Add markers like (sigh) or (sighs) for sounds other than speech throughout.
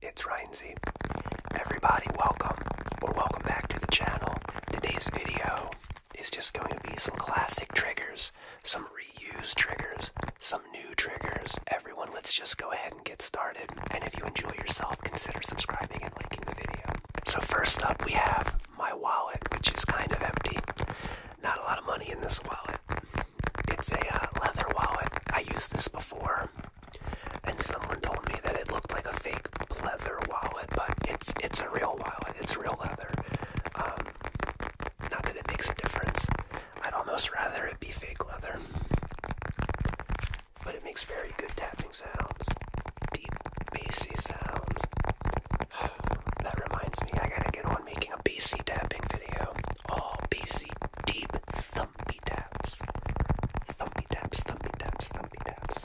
It's Rhinesy. Everybody welcome or welcome back to the channel. Today's video is just going to be some classic triggers, some reused triggers, some new triggers. Everyone, let's just go ahead and get started. And if you enjoy yourself, consider subscribing and liking the video. So first up we have my wallet, which is kind of empty. Not a lot of money in this wallet. It's a uh, leather wallet. I used this before, and someone told me that it looked like a fake leather wallet, but it's it's a real wallet. It's real leather. Um, not that it makes a difference. I'd almost rather it be fake leather, but it makes very good tapping sounds, deep BC sounds. (sighs) That reminds me, I gotta get on making a BC tapping video. All BC deep, th thumpy taps. Thumpy taps, thumpy taps, thumpy taps.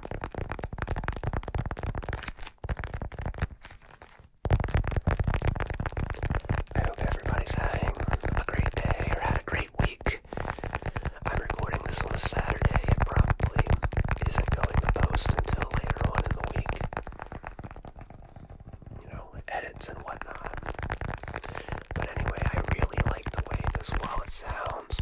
I hope everybody's having a great day or had a great week. I'm recording this on a Saturday. It probably isn't going to post until later on in the week. You know, edits and whatnot. But anyway, I really like the way this wallet sounds.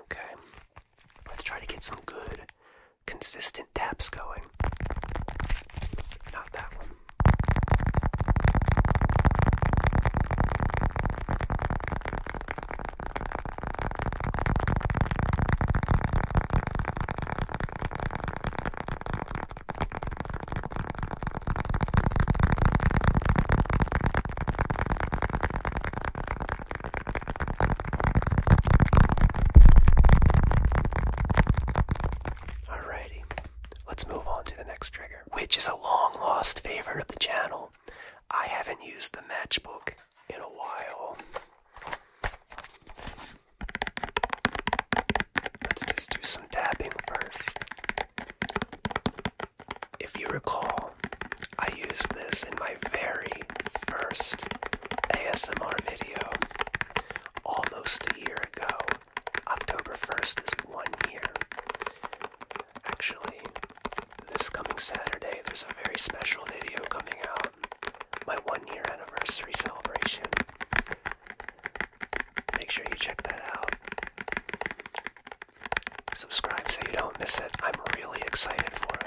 Okay, let's try to get some good, consistent taps going. Not that one. Alrighty, let's move on to the next trigger, which is a long lost favorite of the channel. I haven't used the matchbook in a while. Let's just do some tapping first. If you recall, I used this in my very first ASMR video almost a year ago. October 1st is one year. Actually, this coming Saturday, there's a very special video coming out my one year anniversary celebration. Make sure you check that out. Subscribe so you don't miss it. I'm really excited for it.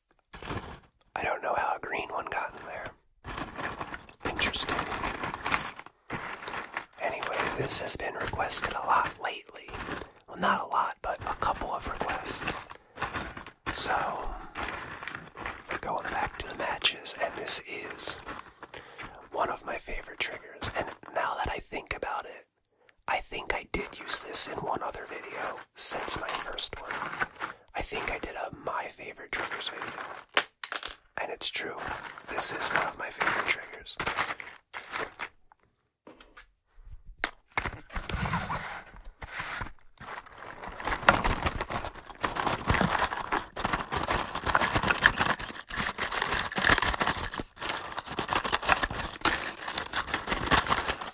I don't know how a green one got in there. Interesting. Anyway, this has been requested a lot lately. Well, not a lot, but a couple of requests. So, we're going back to the matches, and this is one of my favorite triggers. And now that I think about it, I think I did use this in one other video since my first one. I think I did a My Favorite Triggers video. And it's true, this is one of my favorite triggers.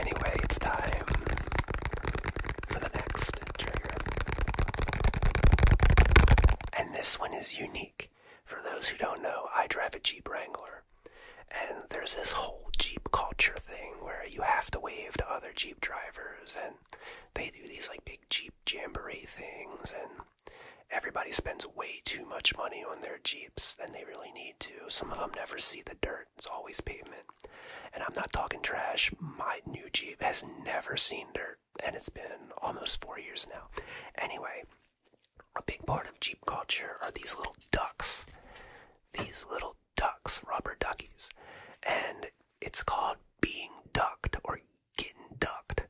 Anyway, it's time for the next trigger. And this one is unique. For those who don't know, I drive a Jeep Wrangler. And there's this whole Jeep culture thing where you have to wave to other Jeep drivers, and they do these like big Jeep jamboree things, and Everybody spends way too much money on their Jeeps than they really need to. Some of them never see the dirt, it's always pavement. And I'm not talking trash, my new Jeep has never seen dirt, and it's been almost four years now. Anyway, a big part of Jeep culture are these little ducks. These little ducks, rubber duckies. And it's called being ducked or getting ducked.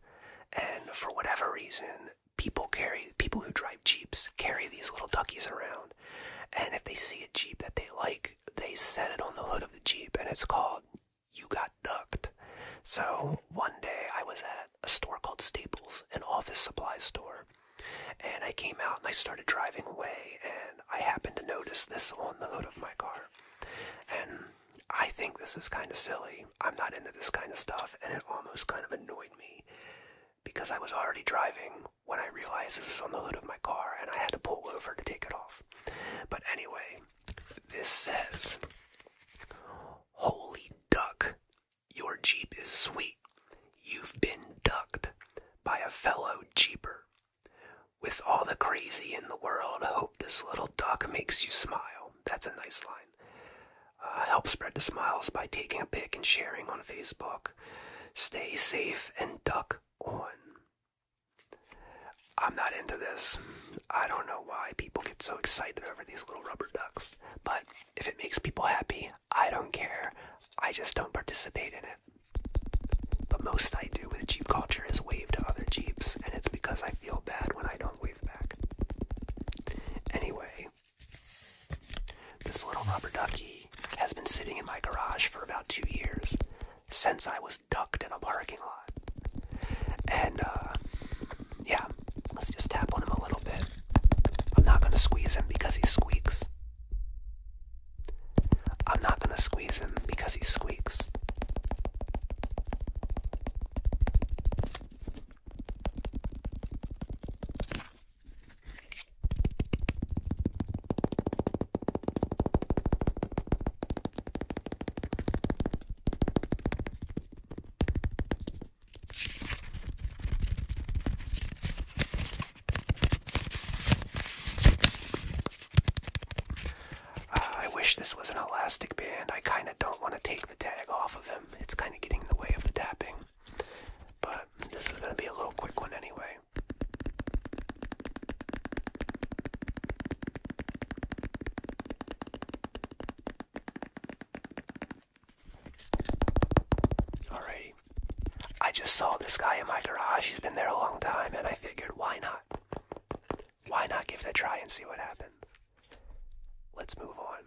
And for whatever reason, people carry people who drive jeeps carry these little duckies around, and if they see a jeep that they like, they set it on the hood of the jeep, and it's called "You Got Ducked." So one day I was at a store called Staples, an office supply store, and I came out and I started driving away, and I happened to notice this on the hood of my car, and I think this is kind of silly, I'm not into this kind of stuff, and it almost kind of annoyed me because I was already driving when I realized this was on the hood of my car and I had to pull over to take it off. But anyway, this says, Holy duck, your Jeep is sweet. You've been ducked by a fellow Jeeper. With all the crazy in the world, hope this little duck makes you smile. That's a nice line. Uh, help spread the smiles by taking a pic and sharing on Facebook. Stay safe and duck on. I'm not into this. I don't know why people get so excited over these little rubber ducks, but if it makes people happy, I don't care. I just don't participate in it. The most I do with Jeep culture is wave to other Jeeps, and it's because I feel bad when I don't wave back. Anyway, this little rubber duckie has been sitting in my garage for about two years since I was ducked in a parking lot. And uh, yeah, let's just tap on him a little bit. I'm not going to squeeze him because he squeaks. I'm not going to squeeze him because he squeaks. Uh, I wish this was an elastic band. I kind of don't want to take the tag off of him. It's kind of getting in the way of the tapping. But this is going to be a little quick one anyway. Alrighty. I just saw this guy in my garage. He's been there a long time, and I figured, why not? Why not give it a try and see what happens? Let's move on.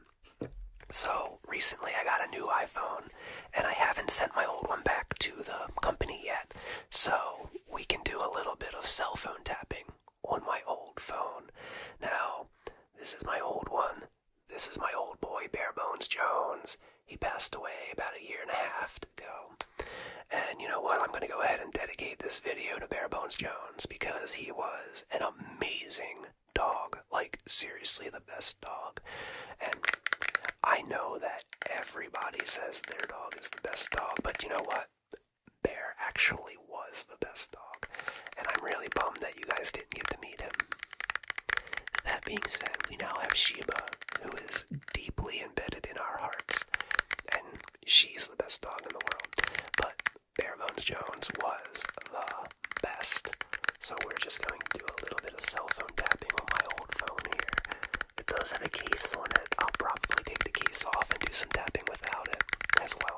So recently I got a new iPhone and I haven't sent my old one back to the company yet. So we can do a little bit of cell phone tapping on my old phone. Now, this is my old one. This is my old boy, Barebones Jones. He passed away about a year and a half ago. And you know what? I'm going to go ahead and dedicate this video to Barebones Jones because he was an amazing dog. Like, seriously, the best dog. And I know that everybody says their dog is the best dog, but you know what? Bear actually was the best dog. And I'm really bummed that you guys didn't get to meet him. That being said, we now have Sheba, who is deeply embedded in our hearts. And she's the best dog in the world. But Bare Bones Jones was the best. So we're just going to do a little bit of cell phone tapping on my old phone here. It does have a case on it. I'll probably take the case off and do some tapping without it as well.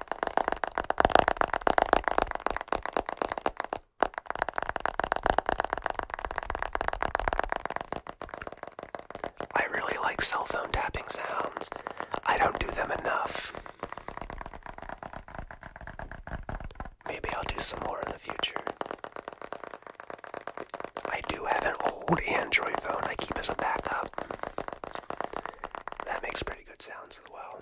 I really like cell phone tapping sounds. I don't do them enough. Maybe I'll do some more in the future. I do have an old Android phone I keep as a backup. That makes pretty good sounds as well.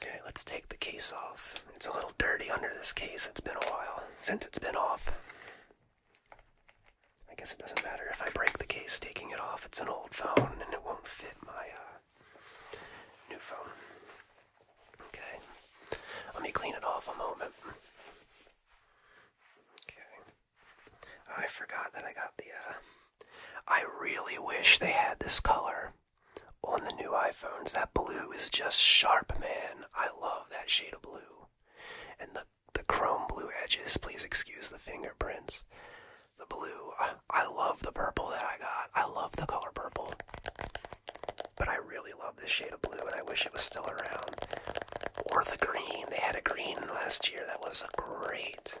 Okay, let's take the case off. It's a little dirty under this case. It's been a while since it's been off. I guess it doesn't matter if I break the case taking it off. It's an old phone and it won't fit my uh, new phone. Okay, let me clean it off a moment. Okay, I forgot that I got the uh, I really wish they had this color on the new iPhones. That blue is just sharp, man. I love that shade of blue. And the, the chrome blue edges, please excuse the fingerprints. The blue, I, love the purple that I got. I love the color purple. But I really love this shade of blue, and I wish it was still around. Or the green. They had a green last year that was great.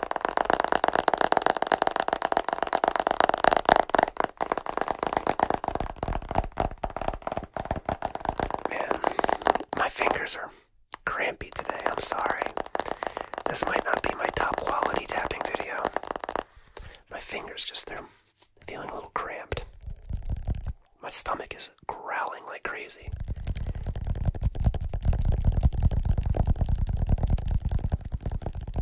Man, my fingers are crampy today. I'm sorry. This might not be my top quality tapping video. My fingers just, they're feeling a little cramped. My stomach is growling like crazy.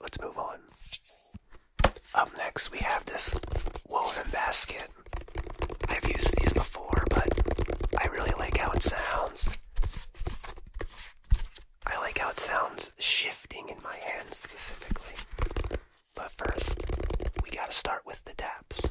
Let's move on. Up next, we have this woven basket. I've used these before, but I really like how it sounds. I like how it sounds shifting in my hand specifically. But first, we gotta start with the taps.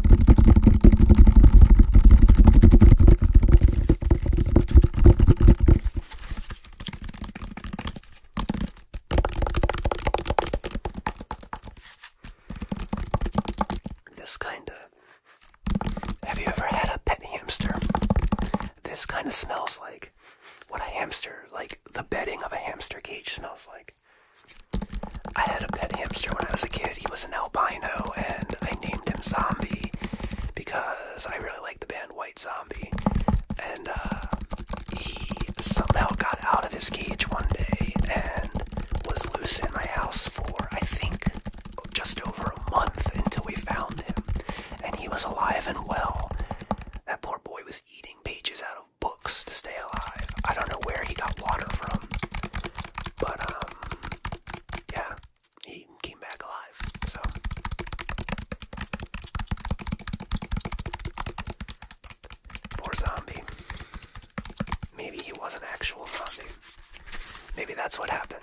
This kind of. Have you ever had a pet hamster? This kind of smells like what a hamster, like the bedding of a hamster cage smells like. I had a pet hamster when I was a kid. He was an albino, and I named him Zombie because I really liked the band White Zombie. And uh, he somehow got out of his cage one day and was loose in my house for, I think, just over a month until we found him. And he was alive and well. That poor boy was eating pages out of books to stay alive. I don't know where he got water from, but um, yeah, he came back alive. So more zombie. Maybe he was not actual zombie. Maybe that's what happened.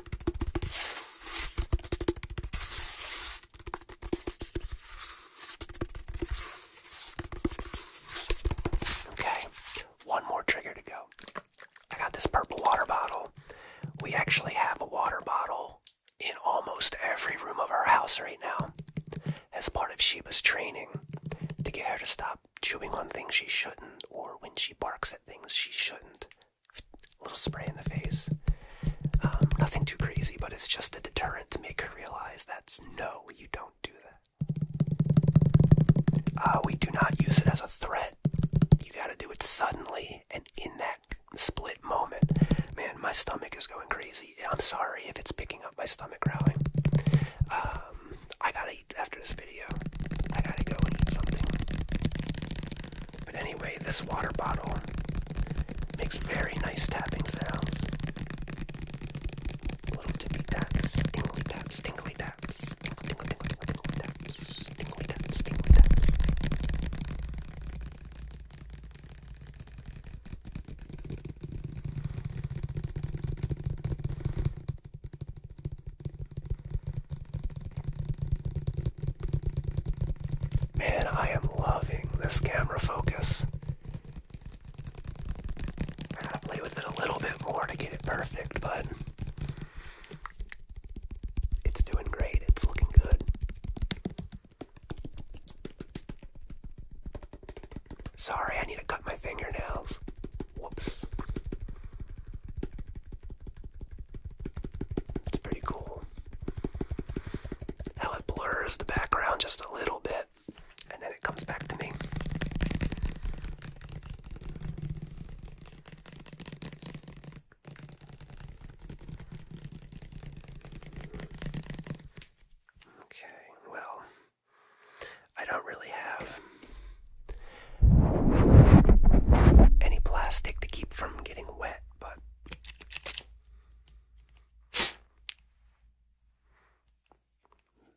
Okay, one more trigger to go. I got this purple water bottle. We actually have a water bottle in almost every room of our house right now as part of Sheba's training to get her to stop chewing on things she shouldn't or when she barks at things she shouldn't a little spray in the face. Um, nothing too crazy, but it's just a deterrent to make her realize that's no, you don't do that. Uh, we do not use it as a threat. You gotta do it suddenly and in that split moment. Man, my stomach is going crazy. I'm sorry if it's picking up my stomach growling. Um, I gotta eat after this video. I gotta go and eat something. But anyway, this water bottle makes very nice tapping sounds. Little tippy taps, tingly taps, tingly taps, tingle, tingle, tingle, tingle, tingle taps, tingly taps, tingly taps. Man, I am loving this camera focus. I gotta play with it a little bit more to get it perfect, but it's doing great. It's looking good. Sorry, I need to cut my fingernails. Whoops. It's pretty cool how it blurs the background just a little bit and then it comes back to me. Okay, well, I don't really have any plastic to keep from getting wet, but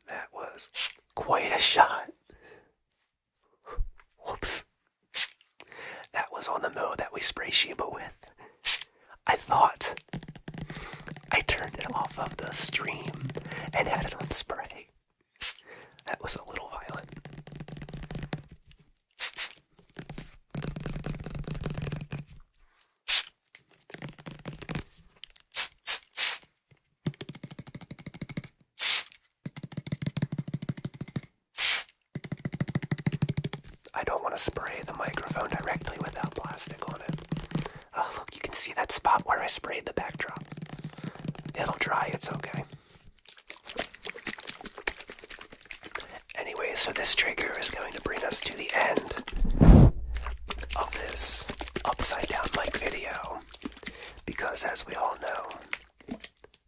that was quite a shot. (laughs) Whoops. That was on the mo that we spray Shiba with. I thought I turned it off of the stream and had it on spray. That was a little violent. I don't want to spray the microphone directly without plastic on it. Oh, look, you can see that spot where I sprayed the backdrop. It'll dry, it's okay. Anyway, so this trigger is going to bring us to the end of this upside down mic video because, as we all know,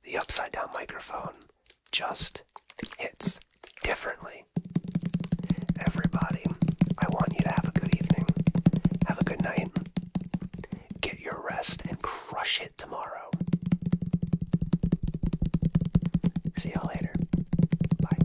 the upside down microphone just hits differently. Everybody, I want you to have a good evening, have a good night, get your rest, and crush it hit tomorrow. See y'all later. Bye.